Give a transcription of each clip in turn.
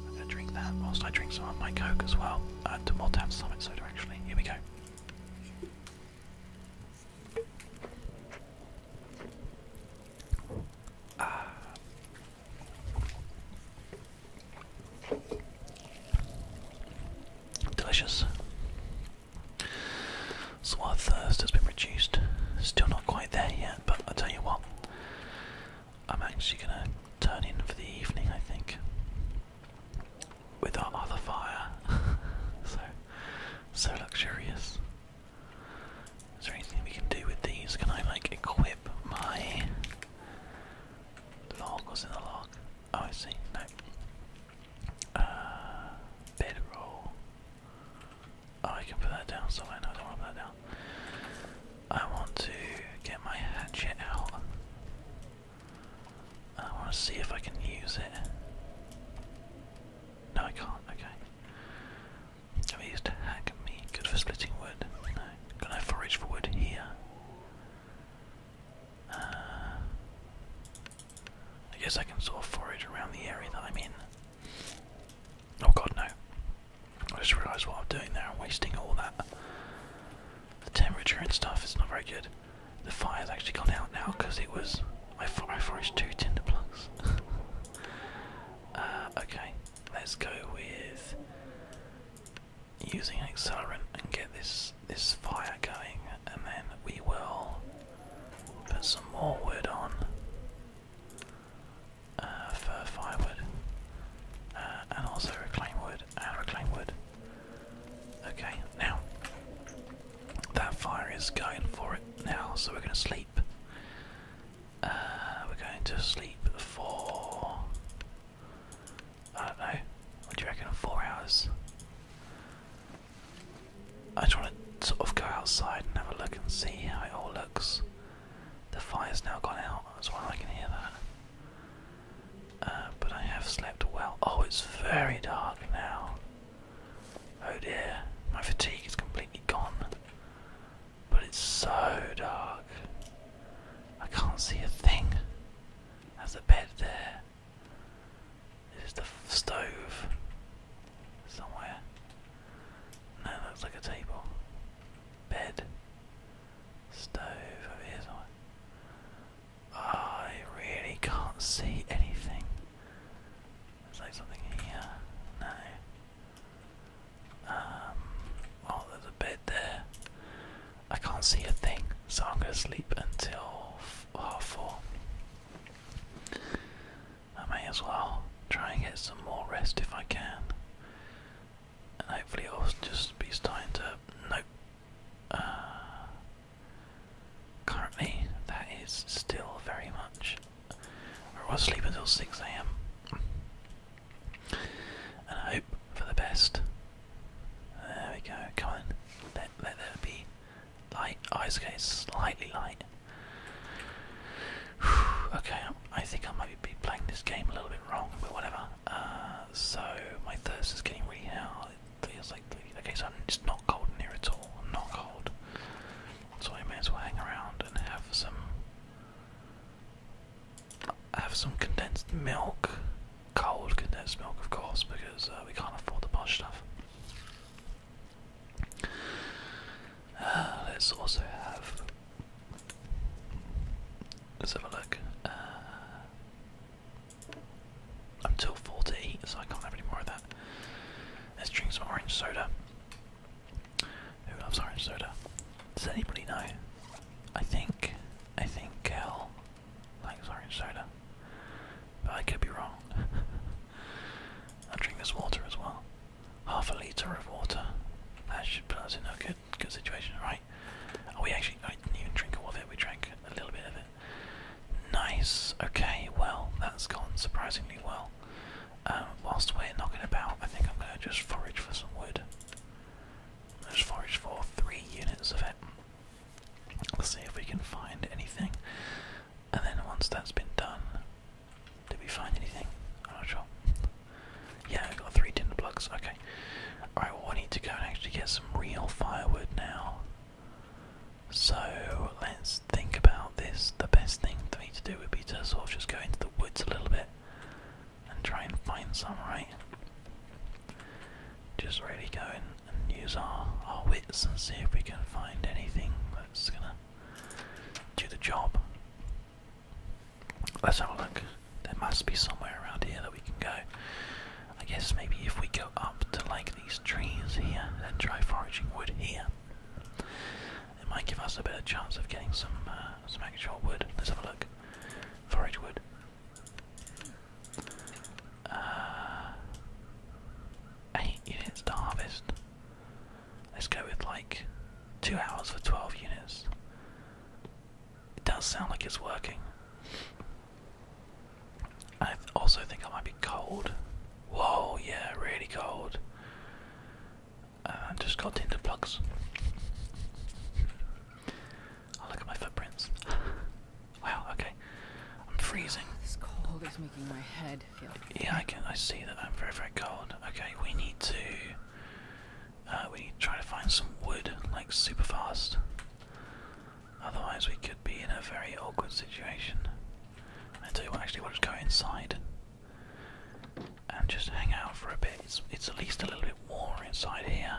I'm gonna drink that whilst I drink some of my Coke as well. Uh, to more some of Summit Soda actually. Here we go. Uh, delicious. So our thirst has been reduced. Still not quite there yet, but I tell you what, I'm actually gonna turn in for the evening, I think, with our other fire. so, so luxurious. Is there anything we can do with these? Can I like equip my log? What's in the log? Oh, I see. No. Uh, bedroll. Oh, I can put that down somewhere. No, don't want to that down. I want to get my hatchet out. I want to see if I can use it. No, I can't. Okay. Can we hack me? Good for splitting wood. No. Can I forage for wood here? Uh, I guess I can sort of forage around the area that I'm in. Oh god, no. I just realised what I'm doing there. I'm wasting all that. The temperature and stuff is not very good. The fire's actually gone out now because it was. I, foraged two tinder plugs. Uh, okay, let's go with using an accelerant and get this this fire going, and then we will put some more wood on uh, for firewood, uh, and also reclaim wood and reclaim wood. Okay, now that fire is going for it now, so we're going to sleep. Uh, we're going to sleep for I don't know. What do you reckon? Four hours. I just want to sort of go outside and have a look and see how it all looks. The fire's now gone out, as well. I can hear that. Uh, but I have slept well. Oh, it's very dark now. Oh dear, my fatigue is completely gone. But it's so dark. I can't see a thing. There's a bed there. Is the stove somewhere? No, it looks like a table. Bed. Stove over here ah, I really can't see anything. There's like something here. No. Um, oh, there's a bed there. I can't see a thing, so I'm gonna sleep until well full. I may as well try and get some more rest if I can. And hopefully it'll just be starting to nope. Uh, currently that is still very much I was sleep until six AM. And I hope for the best. There we go. Come on. Let, let there be Light. eyes, oh, it's okay. slightly light. okay, I think I might be playing this game a little bit wrong, but whatever. Uh, so my thirst is getting really high. It feels like okay, so it's not cold in here at all. not cold, so I may as well hang around and have some have some condensed milk cold condensed milk, of course, because uh, we can't afford the buy stuff. Uh, let's also have. Let's have a look. Until uh, i so I can't have any more of that. Let's drink some orange soda. Who loves orange soda? Does anybody know? I think, I think Kel Thanks, orange soda. But I could be wrong. i drink this water as well. Half a litre of water. That should put us in a good, good situation, right? Are we actually I didn't even drink all of it. We drank a little bit of it. Nice. Okay. Well, that's gone surprisingly well. Um, whilst we're knocking about, I think I'm going to just forage for some wood. Let's forage for three units of it. Let's see if we can find anything. And then once that's been done, did we find anything? I'm not sure. Yeah, I got three tinder plugs. Okay. Alright, well, we need to go and actually get some real firewood now. So let's think about this. The best thing for me to do would be to sort of just go into the woods a little bit and try and find some, right? just really go in and use our, our wits and see if we can find anything that's gonna do the job. Let's have a look. There must be somewhere around here that we can go. I guess maybe if we go up to like these trees here and try foraging wood here, it might give us a better chance of getting some uh, some actual wood. Let's have a look. Forage wood. Uh, eight units to harvest. Let's go with like two hours for 12 units. It does sound like it's working. I also think I might be cold. Whoa, yeah, really cold. Uh, just got into plugs. i oh, look at my footprints. Wow, okay. I'm freezing. this cold is making my head feel. Yeah, I can. I see that I'm very, very cold. Okay, we need to. Uh, we need to try to find some wood, like super fast. Otherwise, we could be in a very awkward situation. I tell you actually, we'll go inside and just hang out for a bit. It's it's at least a little bit warmer inside here,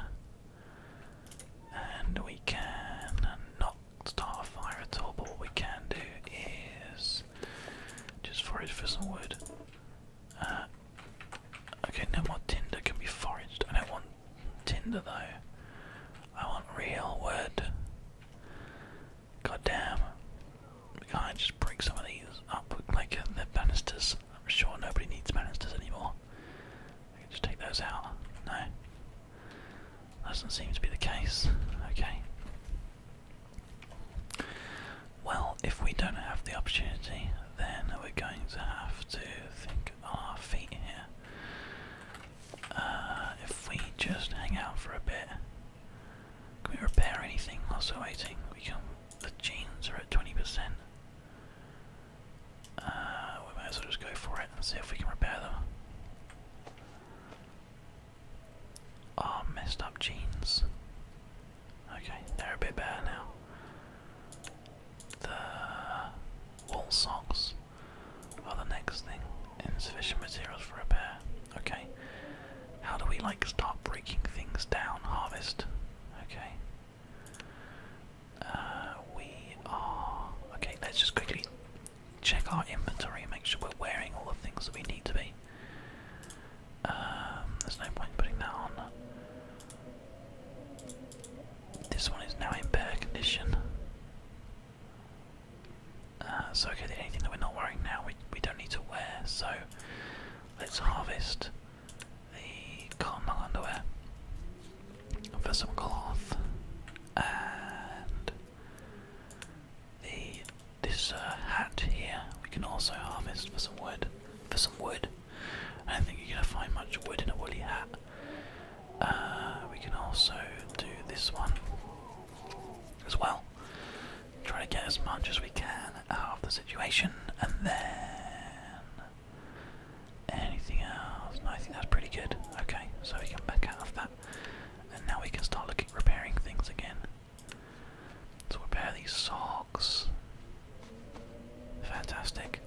and we can not start a fire at all, but what we can do is just forage for some wood. Uh, okay, no more tinder can be foraged. I don't want tinder though. I want real wood. God damn. We can't just bring some of these up like uh, the banisters. I'm sure nobody needs banisters anymore just take those out. No. doesn't seem to be the case. Okay. Well, if we don't have the opportunity, then we're going to have to think on our feet here. Uh, if we just hang out for a bit, can we repair anything whilst we waiting? We can. The jeans are at 20%. Uh, we might as well just go for it and see if we can repair them. Oh, messed up jeans. Okay, they're a bit better now. The wool socks are the next thing. Insufficient materials for repair. Okay. How do we like start breaking things down? Harvest. Okay. Uh, we are. Okay, let's just quickly check our inventory and make sure we're wearing all the things that we need to be. Um, there's no point putting that on. This one is now in better condition. Uh, so okay, the that we're not wearing now we, we don't need to wear, so let's harvest the cotton underwear for some cloth and the this uh, hat here we can also harvest for some wood. For some wood, I don't think you're gonna find much wood in a woolly hat. Uh, we can also do this one as well. Try to get as much as we can out of the situation, and then anything else. I think that's pretty good. Okay, so we come back out of that. And now we can start looking repairing things again. So repair these socks. Fantastic.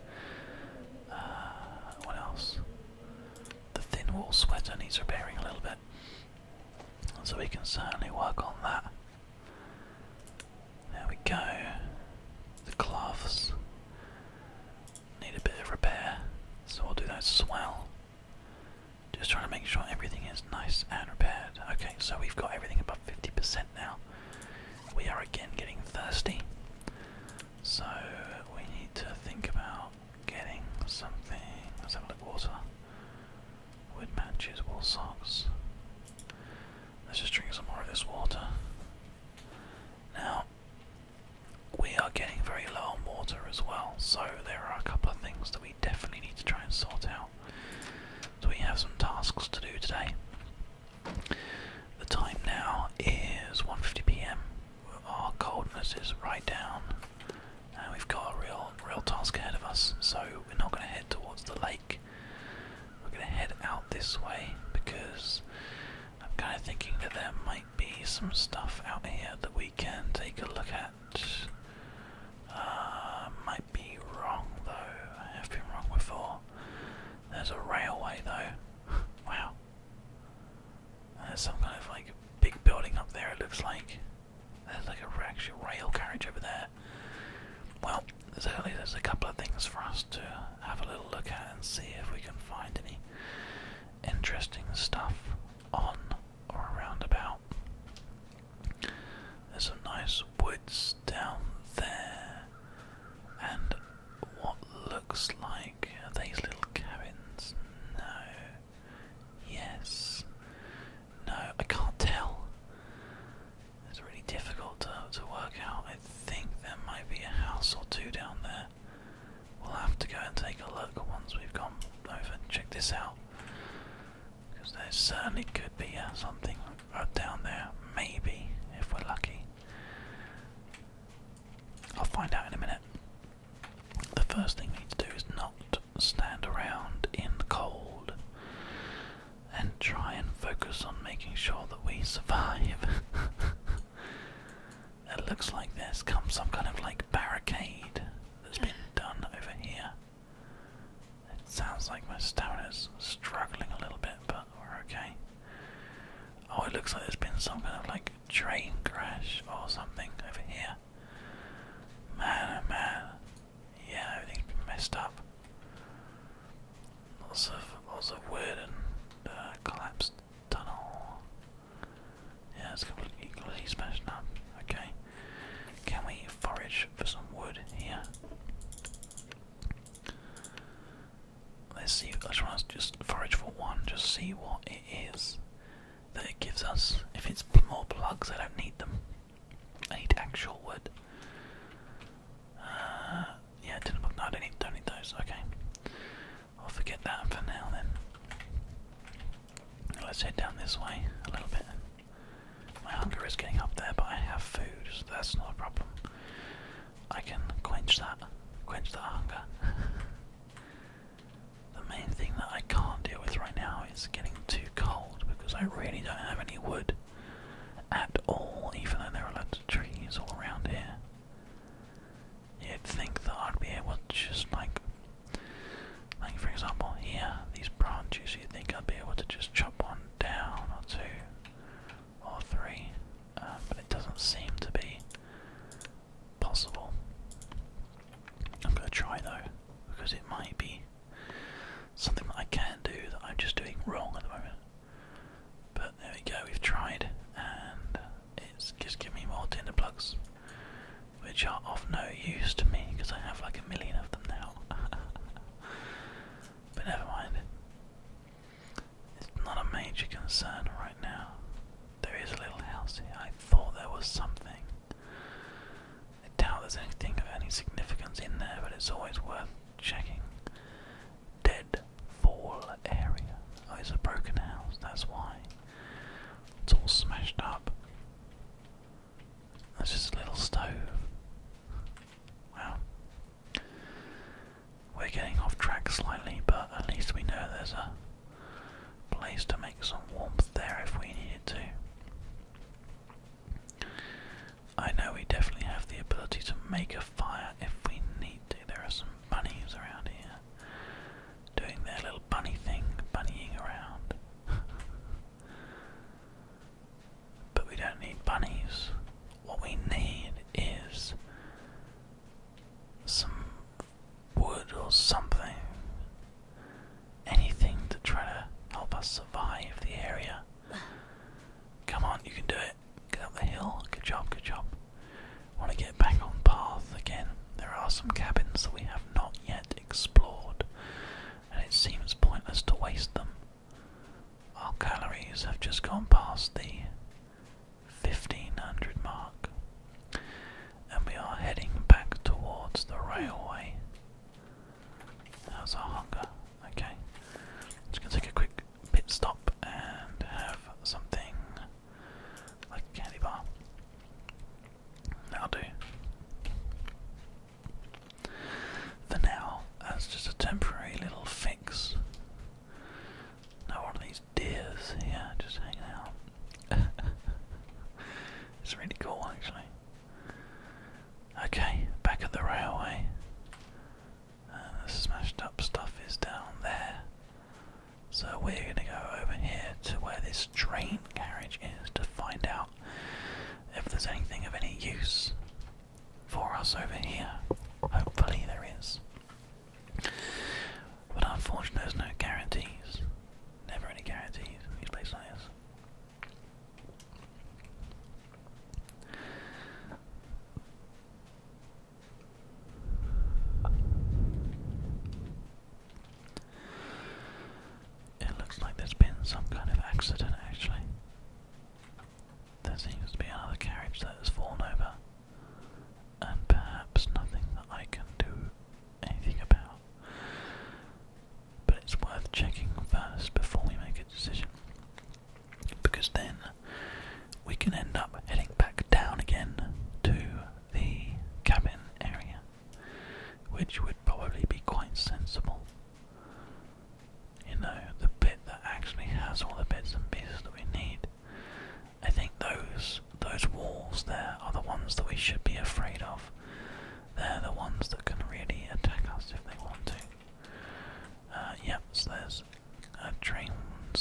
Uh, what else? The thin wool sweater needs repairing a little bit. So we can certainly work on that. There we go. The cloths need a bit of repair, so I'll do that as well. Just trying to make sure everything is nice and repaired. Okay, so we've got everything above 50% now. We are again getting thirsty, so we need to think about getting something. Let's have a look water. Wood matches, wool socks. Let's just drink some more of this water. Now, we are getting very low on water as well, so there are a couple of things that we definitely need to try and sort out. So we have some tasks to do today. The time now is 1.50pm. Our coldness is right down. And we've got a real, real task ahead of us, so we're not going to head towards the lake. We're going to head out this way because I'm kind of thinking that there might be some stuff out here that we can take a look at. Uh, might be wrong though. I have been wrong before. There's a railway though. wow. There's some kind of like big building up there. It looks like there's like a actual rail carriage over there. Well, at least there's a couple of things for us to have a little look at and see if we can find any interesting stuff on or around about. There's some nice woods down there, and what looks like are these little cabins? No. Yes. No, I can't tell. It's really difficult to, to work out. I think there might be a house or two down there. We'll have to go and take a look once we've gone over and check this out. Because there certainly could be uh, something down there, maybe, if we're lucky. I'll find out in a minute. The first thing we need to do is not stand around in the cold and try and focus on making sure that we survive. It looks like there's come some kind of like barricade that's been mm. done over here. It sounds like my stamina's struggling a little bit, but we're okay. Oh, it looks like there's been some kind of like train crash or something over here. Man, oh man. Yeah, everything's been messed up. Lots of, lots of wood and uh, collapsed tunnel. Yeah, it's completely smashed up. Okay. Can we forage for some wood here? Let's see. I just want to just forage for one, just see what it is that it gives us. If it's more plugs, I don't need them. I need actual wood. Uh, yeah, tin book. No, I don't need, don't need those. Okay. I'll forget that for now then. Let's head down this way a little bit. My hunger is getting up there, but I have food, that's not a problem. I can quench that, quench that hunger. the main thing that I can't deal with right now is getting too cold because I really don't have any wood at all, even though there are lots of trees all around here you'd think that I'd be able to just like, like for example here, these branches, you'd think I'd be able to just chop one down or two or three, uh, but it doesn't seem to be possible. I'm going to try though, because it might be something that I can do that I'm just doing wrong at the moment. But there we go, we've tried, and it's just giving me more tinder plugs, which are of no use to me because I have like a million of them now. but never mind. It's not a major concern right now. There is a little house here. I thought there was something. I doubt there's anything of any significance in there, but it's always worth checking. Dead fall area. Oh, it's a broken house, that's why. It's all smashed up. That's just a little stove. Wow. We're getting off track slightly, but at least we know there's a place to make some warmth there if we needed to. I know we definitely have the ability to make a fire if we need to. There are some bunnies around here doing their little bunny thing, bunnying around. but we don't need bunnies. What we need is some wood or something. Anything to try to help us survive the area. Come on, you can do it. Get up the hill. Good job, good job want to get back on path again. There are some cabins that we have not yet explored, and it seems pointless to waste them. Our calories have just gone past the 1500 mark, and we are heading back towards the railway. How's our hunger? Okay. Just gonna take a quick pit stop and have something like a candy bar. That'll do. For now, that's just a temporary little fix. Now one of these deers here just hanging out. it's really cool actually. Okay, back at the railway. Uh, the smashed up stuff is down there. So we're going to go over here to where this train carriage is to find out if there's anything of any use for us over here. Hopefully there is. But unfortunately there's no guarantees. Never any guarantees these places like this. It looks like there's been some kind of accident actually. There seems to be another carriage that has fallen over, and perhaps nothing that I can do anything about. But it's worth checking first before we make a decision, because then we can end up heading back down again to the cabin area which would probably be quite sensible. You know, the bit that actually has all the bits and pieces that we need. I think those those walls there are the ones that we should be afraid of. They're the ones that can really attack us if they want to. Uh, yep, there's uh,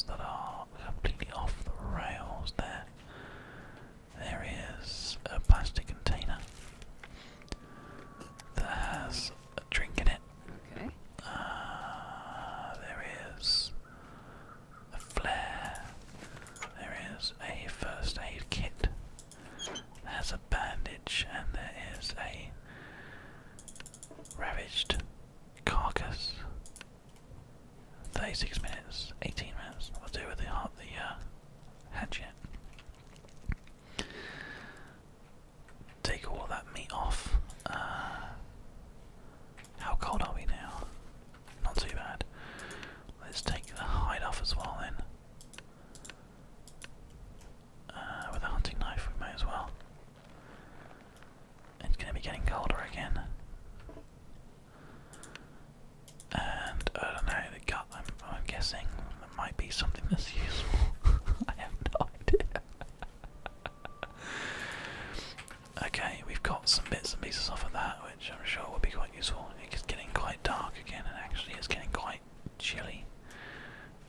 that are completely off the rails there. There is a plastic container that has a drink in it. Okay. Uh, there is a flare. There is a first aid kit. There's a bandage, and there is a ravaged carcass. 36 minutes, 18 minutes. we will do with the the uh, hatchet. Take all that meat off. Uh, how cold are we now? Not too bad. Let's take the hide off as well then. Uh, with a hunting knife, we may as well. It's going to be getting colder again. And I don't know, the gut, I'm, guessing, that might be something that's useful. I have no idea. okay, we've got some bits and pieces off of that, which I'm sure will be quite useful. It's getting quite dark again, and actually, it's getting quite chilly.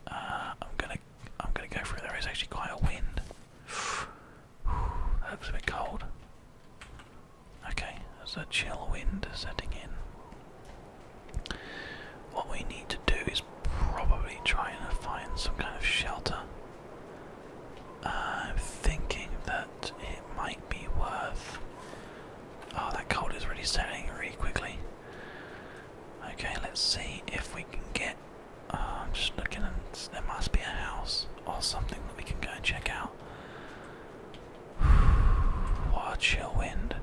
Uh, I'm gonna, I'm gonna go through. There is actually quite a wind. that a bit cold. Okay, there's a chill wind setting in. What we need to do is probably try and find some kind of shelter. I'm thinking that it might be worth. Oh, that cold is really setting really quickly. Okay, let's see if we can get. Oh, I'm just looking, and there must be a house or something that we can go and check out. Watch your wind.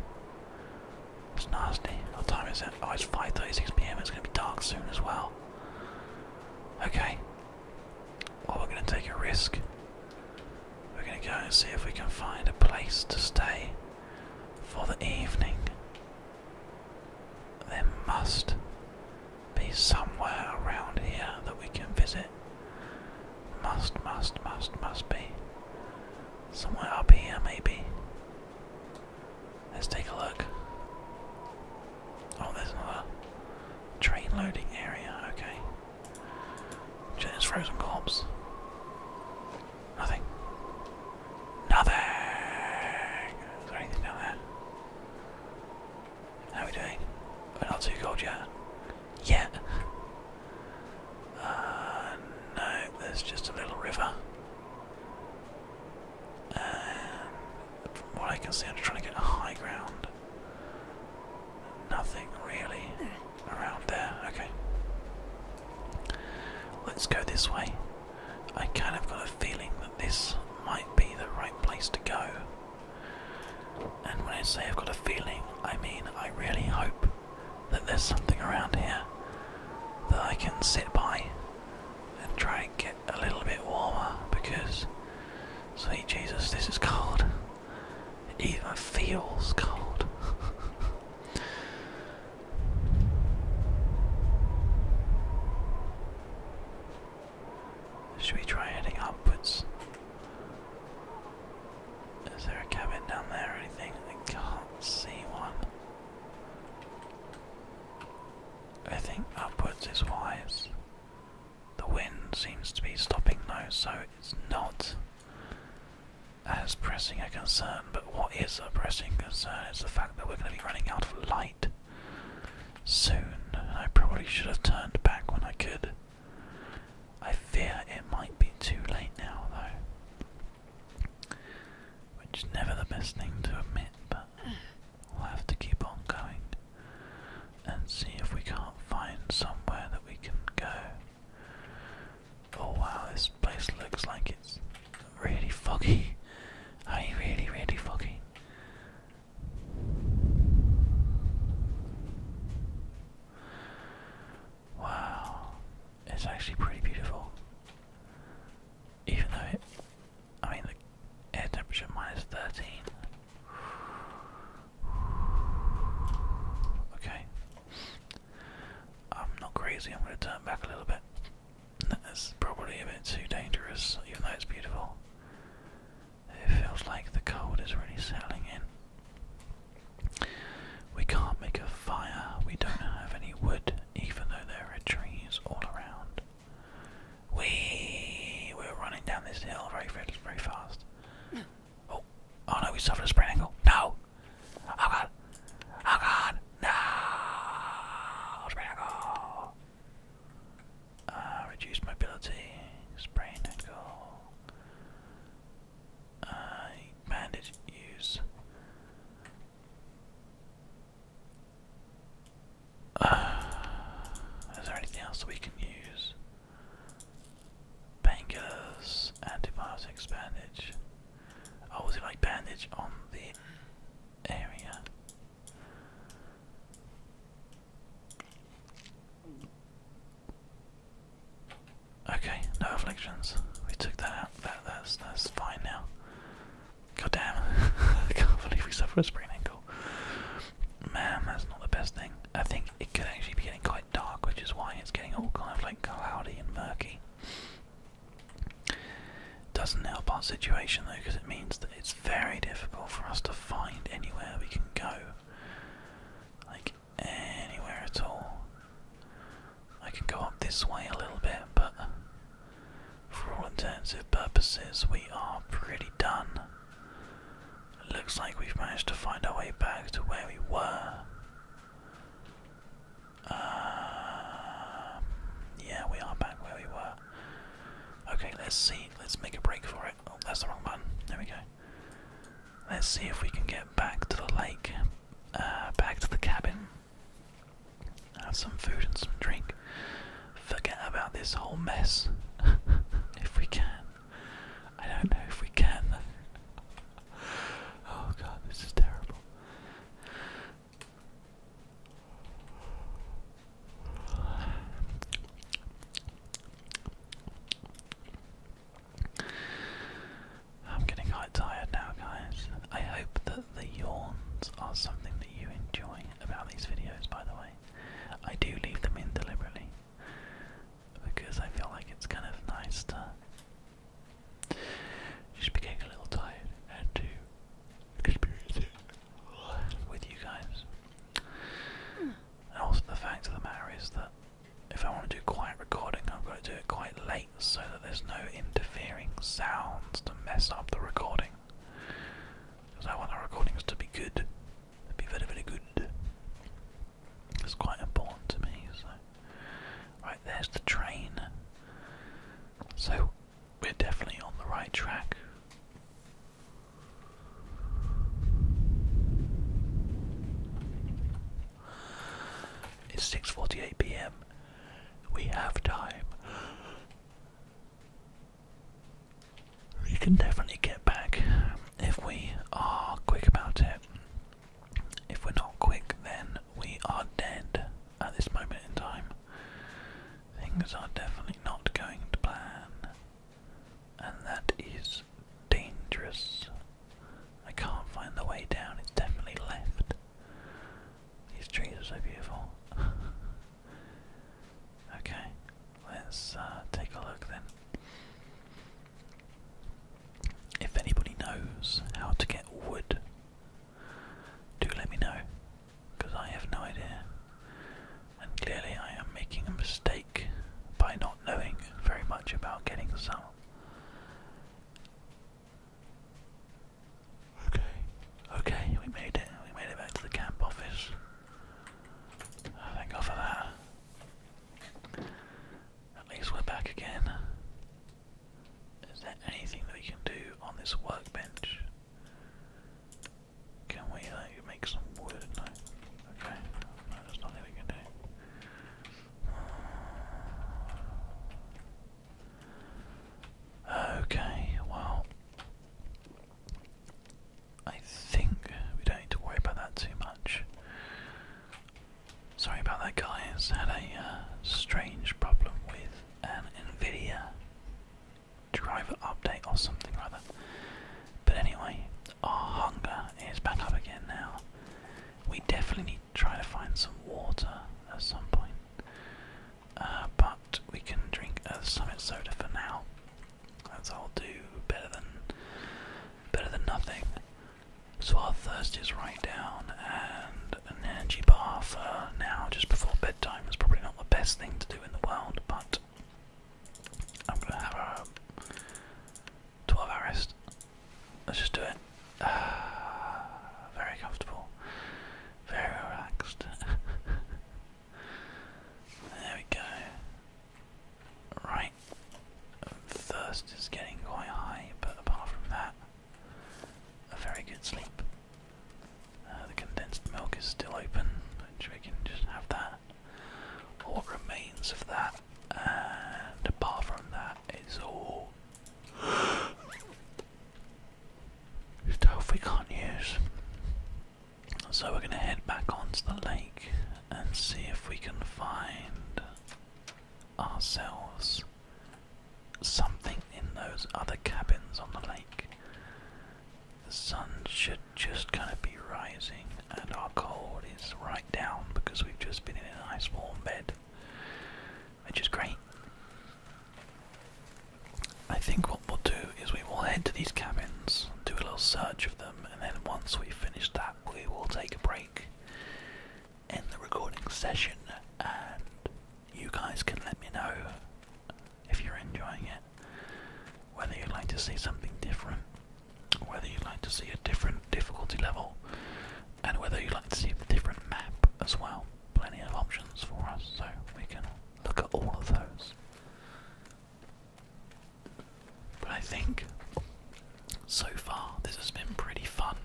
It's nasty. What time is it? Oh, it's 5.36pm. It's going to be dark soon as well. Okay. Well, we're going to take a risk. We're going to go and see if we can find a place to stay for the evening. There must be somewhere around here that we can visit it? Must, must, must, must be. Somewhere up here, maybe. Let's take a look. Oh, there's another train loading area, okay. There's frozen corpse. Nothing. Nothing! Is there anything down there? How are we doing? We're not too cold yet. Yet. Uh, no, there's just a little river. from what I can see, I'm just trying to get high ground. Nothing really around there. Okay. Let's go this way. I kind of got a feeling that this might be the right place to go. And when I say I've got a feeling, I mean I really hope that there's something around here that I can sit by and try and get a little bit warmer because, sweet Jesus, this is cold. even feels cold. Should we try heading upwards? Is there a cabin down there or anything? I can't see one. I think upwards is wise. The wind seems to be stopping now, so it's not as pressing a concern. But what is a pressing concern is the fact that we're going to be running out of light soon. I probably should have turned back when I could. I fear it might be too late now, though. Which is never the best thing to admit, but we'll have to keep on going and see if we can't find somewhere that we can go. Oh wow, this place looks like it's really foggy. Are you really, really foggy. Wow, it's actually pretty beautiful. Even though it, I mean, the air temperature minus 13. Okay. I'm not crazy, I'm going to turn back a little bit. That's probably a bit too dangerous, even though it's beautiful. It feels like the cold is really settling in. We can't make a fire, we don't have any wood, even though there are trees all around. We we're running down this hill very very fast. Oh, oh no, we suffered a sprain ankle. No! Oh god! Oh god! No! Sprain ankle! Uh, reduced mobility, sprain ankle. Uh, bandage use. is there anything else we can use? Painkillers, antibiotics, bandage. Oh, was like bandage on the area? Okay, no afflictions. We took that out. that's that's fine now. God damn. I can't believe we suffer a sprain ankle. Man, that's not the best thing. I think it could actually be getting quite dark, which is why it's getting all kind of like cloudy and murky. Doesn't help our situation though, because it means that it's very difficult for us to find anywhere we can go. Like, anywhere at all. I can go up this way a little bit, but for all intensive purposes, we are pretty done. looks like we've managed to find our way back to where we were. Um, yeah, we are back where we were. Okay, let's see. Let's make a break for it. Oh, that's the wrong button. There we go. Let's see if we can get back to the lake, uh, back to the cabin, have some food and some drink, forget about this whole mess if we can. I don't know if we can Oh god, this is terrible. I'm getting quite tired now, guys. I hope that the yawns are something that you enjoy about these videos, by the way. I do leave them in deliberately because I feel like it's kind of nice to just be getting a little tired and to experience it with you guys. Hmm. And also, the fact of the matter is that if I want to do quiet recording, I've got to do it quite late so that there's no interfering sounds to mess up the recording. Because I want our recordings to be good, to be very, very good. It's quite important to me, so. Right, there's the train. So, we're definitely on the right track. It's 6:48 p.m. We have time. We can definitely get back if we are quick about it. If we're not quick, then we are dead at this moment in time. Things are definitely not going to plan and that is dangerous. I can't find the way down, it's definitely left. These trees are so beautiful. okay, let's uh, take a look then. If anybody knows how to get wood, do let me know, because I have no idea. And clearly, I am making a mistake by not knowing very much about getting some. Okay, okay, we made it. We made it back to the camp office. thank God for that. At least we're back again. Is there anything that we can do on this workbench? Can we make some wood? Okay, there's nothing we can do. Okay, well, I think we don't need to worry about that too much. Sorry about that, guys. Had a uh, strange problem with an NVIDIA driver update or something rather. But anyway, our hunger is back up again now. We definitely need to try to find some water at some point. Uh, but we can drink a summit soda for now. That's all do better than better than nothing. So our thirst is right down and an energy bar for now just before bedtime is probably not the best thing to do in the world, but I'm gonna have a 12 hours rest. Let's just do it. very comfortable. Very relaxed. there we go. Right. Thirst is getting quite high, but apart from that, a very good sleep. Uh, the condensed milk is still open, which we can just have that. What remains of that, and apart from that, it's all stuff we can't use. So we're gonna head back onto the lake and see if we can find ourselves something in those other cabins on the lake. The sun should just kind of be rising, and our cold is right down because we've just been in a nice warm bed, which is great. I think what we'll do is we will head to these cabins, do a little search of them, and then once we've finished that, we will take a break, end the recording session, and you guys can let me know if you're enjoying it, whether you'd like to see something different whether you'd like to see a different difficulty level, and whether you'd like to see a different map as well. Plenty of options for us, so we can look at all of those. But I think so far this has been pretty fun.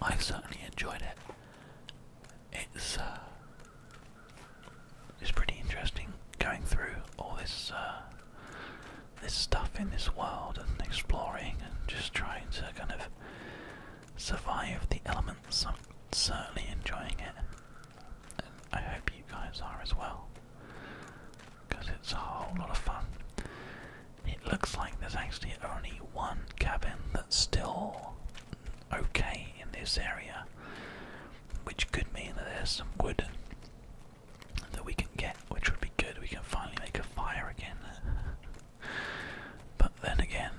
I certainly enjoyed it. It's uh, it's pretty interesting going through all this uh, this stuff in this world and exploring and just trying to kind of survive the elements. I'm certainly enjoying it, and I hope you guys are as well, because it's a whole lot of fun. It looks like there's actually only one cabin that's still okay in this area, which could mean that there's some wood that we can get, which would be good. We can finally make a fire again. but then again,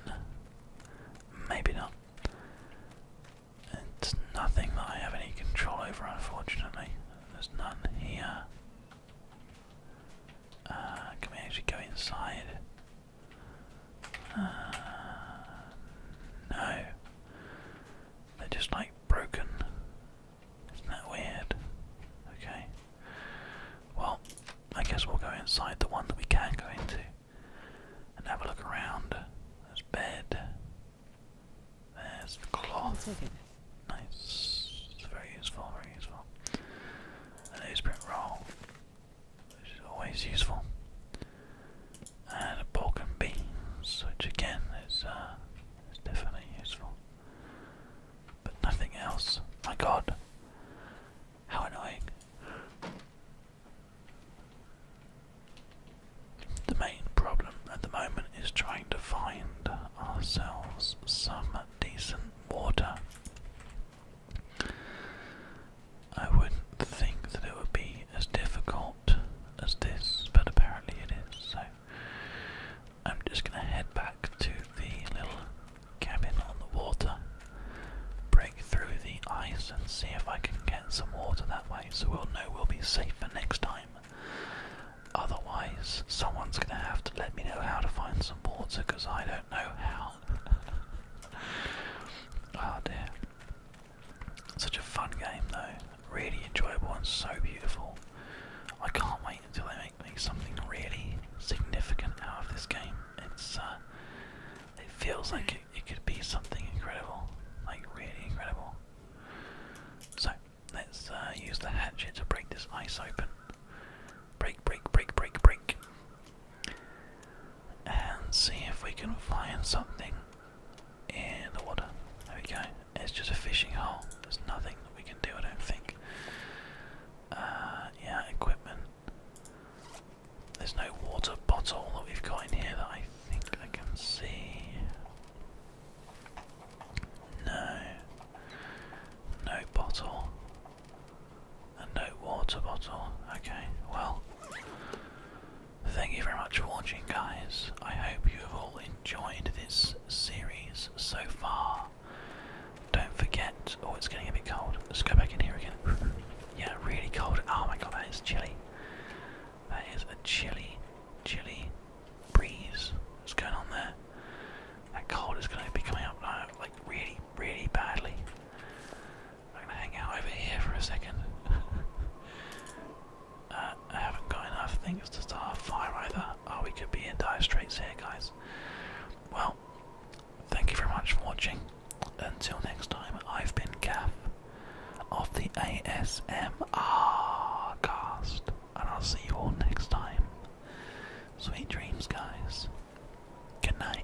maybe not. It's nothing that I have any control over, unfortunately. There's none here. Uh, can we actually go inside? Uh, no. They're just like broken. Isn't that weird? Okay. Well, I guess we'll go inside the one that we can go into and have a look around. There's a bed. There's the cloth. Nice. It's very useful, very useful. A newsprint roll, which is always useful. And a broken beam. beans, which again is uh, is definitely useful. But nothing else. My god. How annoying. The main problem at the moment is trying to find ourselves some decent water. I wouldn't think that it would be as difficult as this, but apparently it is, so I'm just going to head back to the little cabin on the water, break through the ice, and see if I can get some water that way so we'll know we'll be safer next time. Otherwise, someone's going to have to let me know how to find some water because I don't know how. oh dear. Such a fun game though. Really enjoyable and so beautiful. I can't wait until they make me something really significant out of this game. It's uh, it feels like it, could be something incredible, like really incredible. So let's uh, use the hatchet to break this ice open. Break, break, break, break, break, and see if we can find something in the water. There we go. It's just a fishing hole. There's nothing that we can do, I don't think. Uh, yeah, equipment. There's no water bottle that we've got in here that I think I can see. No. No bottle. And no water bottle. Okay, well. Thank you very much for watching, guys. I hope you have all enjoyed enjoyed this series so far. Don't forget, oh, it's getting a bit cold. Let's go back in here again. yeah, really cold. Oh my god, that is chilly. That is a chilly, chilly breeze. What's going on there? That cold is going to be coming up now, uh, like really, really badly. I'm going to hang out over here for a second. Uh, I haven't got enough things to start a fire either. Oh, we could be in dire straits here, guys. Well, thank you very much for watching. Until next time, I've been Gaff of the ASMR cast, and I'll see you all next time. Sweet dreams, guys. Good night.